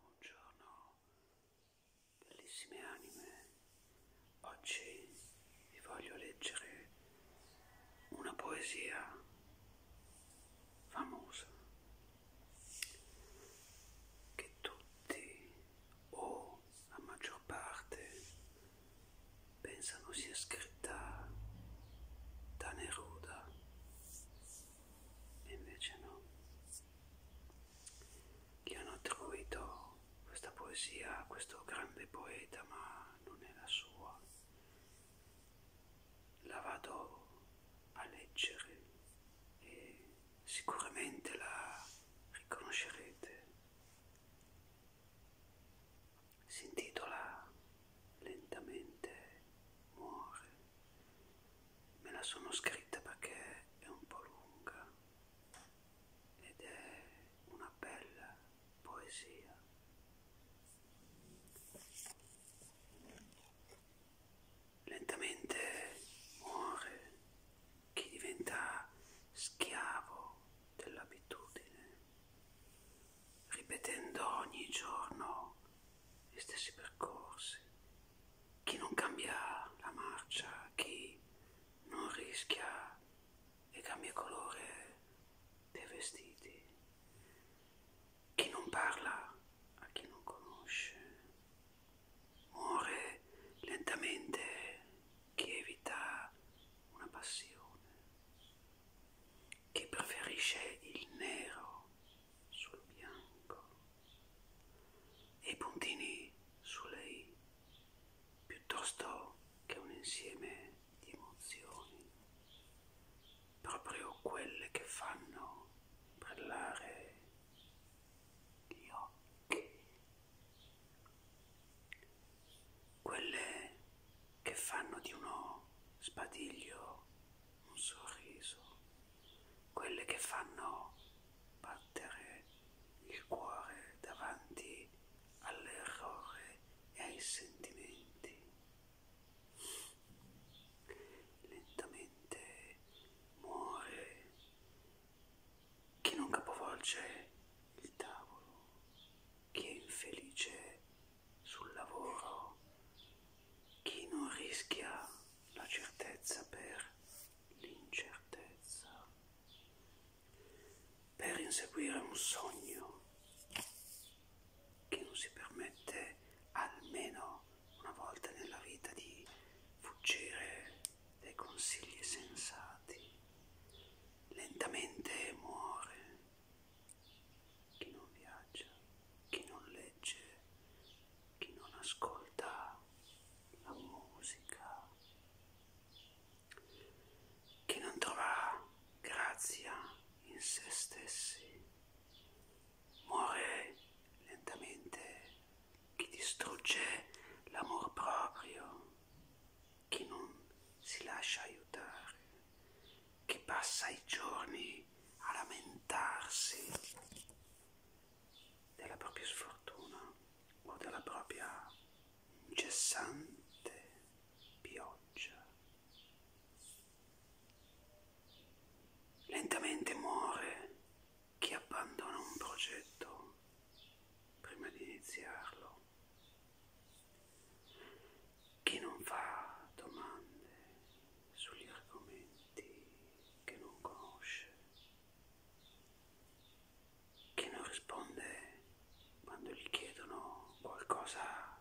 Buongiorno bellissime anime, oggi vi voglio leggere una poesia famosa che tutti o la maggior parte pensano sia scritta da Neruda e invece no gli hanno attribuito questa poesia a questo grande poeta ma non è la sua la vado a leggere e sicuramente la riconoscerete si intitola lentamente muore. Me la sono scritta perché è un po' lunga ed è una bella poesia. Lentamente muore chi diventa schiavo dell'abitudine ripetendo ogni giorno gli stessi percorsi, chi non cambia la marcia, chi non rischia e cambia colore dei vestiti, chi non parla a chi non conosce, muore lentamente chi evita una passione, che preferisce il nero sul bianco e i puntini sulle i piuttosto che un insieme di emozioni, proprio quelle che fanno brillare gli occhi, quelle che fanno di uno sbadiglio un sorriso, quelle che fanno battere il cuore davanti all'errore e ai sentimenti. Lentamente muore chi non capovolge il tavolo, chi è infelice sul lavoro, chi non rischia la certezza per l'incertezza, per inseguire un sogno, chi non si permette almeno una volta nella vita di fuggire dai consigli sensati lentamente muore, chi non viaggia, chi non legge, chi non ascolta la musica, chi non trova grazia in se stessi, muore lentamente, chi distrugge l'amor proprio, che non si lascia aiutare, che passa i giorni a lamentarsi della propria sfortuna o della propria incessante pioggia. Lentamente muore chi abbandona un progetto prima di iniziarlo chi non fa domande sugli argomenti che non conosce, chi non risponde quando gli chiedono qualcosa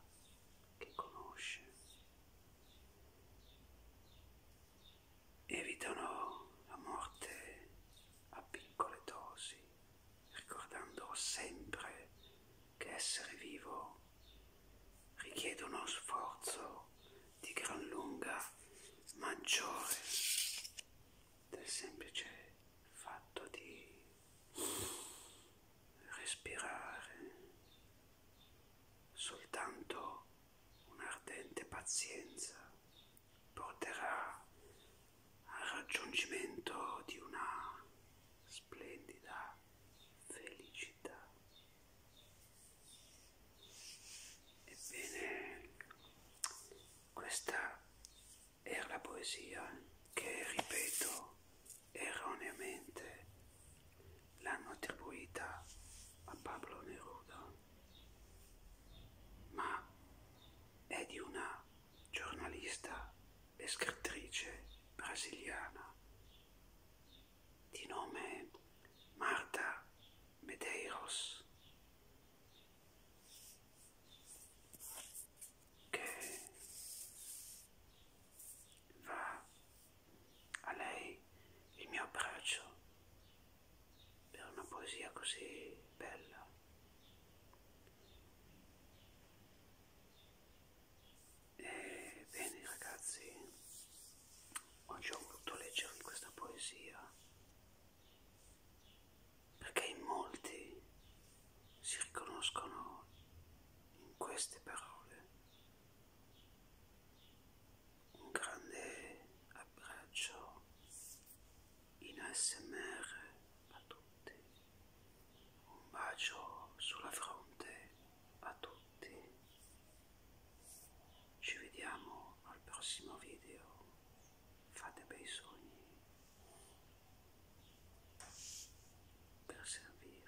che conosce, evitano la morte a piccole dosi, ricordando sempre che essere vivo richiede uno sforzo di gran lunga maggiore del semplice fatto di respirare soltanto un'ardente pazienza porterà al raggiungimento di una splendida felicità. Ebbene, questa era la poesia che, ripeto, erroneamente l'hanno attribuita a Pablo Neruda ma è di una giornalista e scrittrice brasiliana di nome Marta Medeiros che va a lei il mio abbraccio per una poesia così bella. E eh, bene ragazzi, oggi ho voluto leggervi questa poesia perché in molti si riconoscono in queste parole un grande abbraccio in ASMR a tutti, un bacio sulla fronte a tutti, ci vediamo al prossimo video, fate bei sogni per servirvi.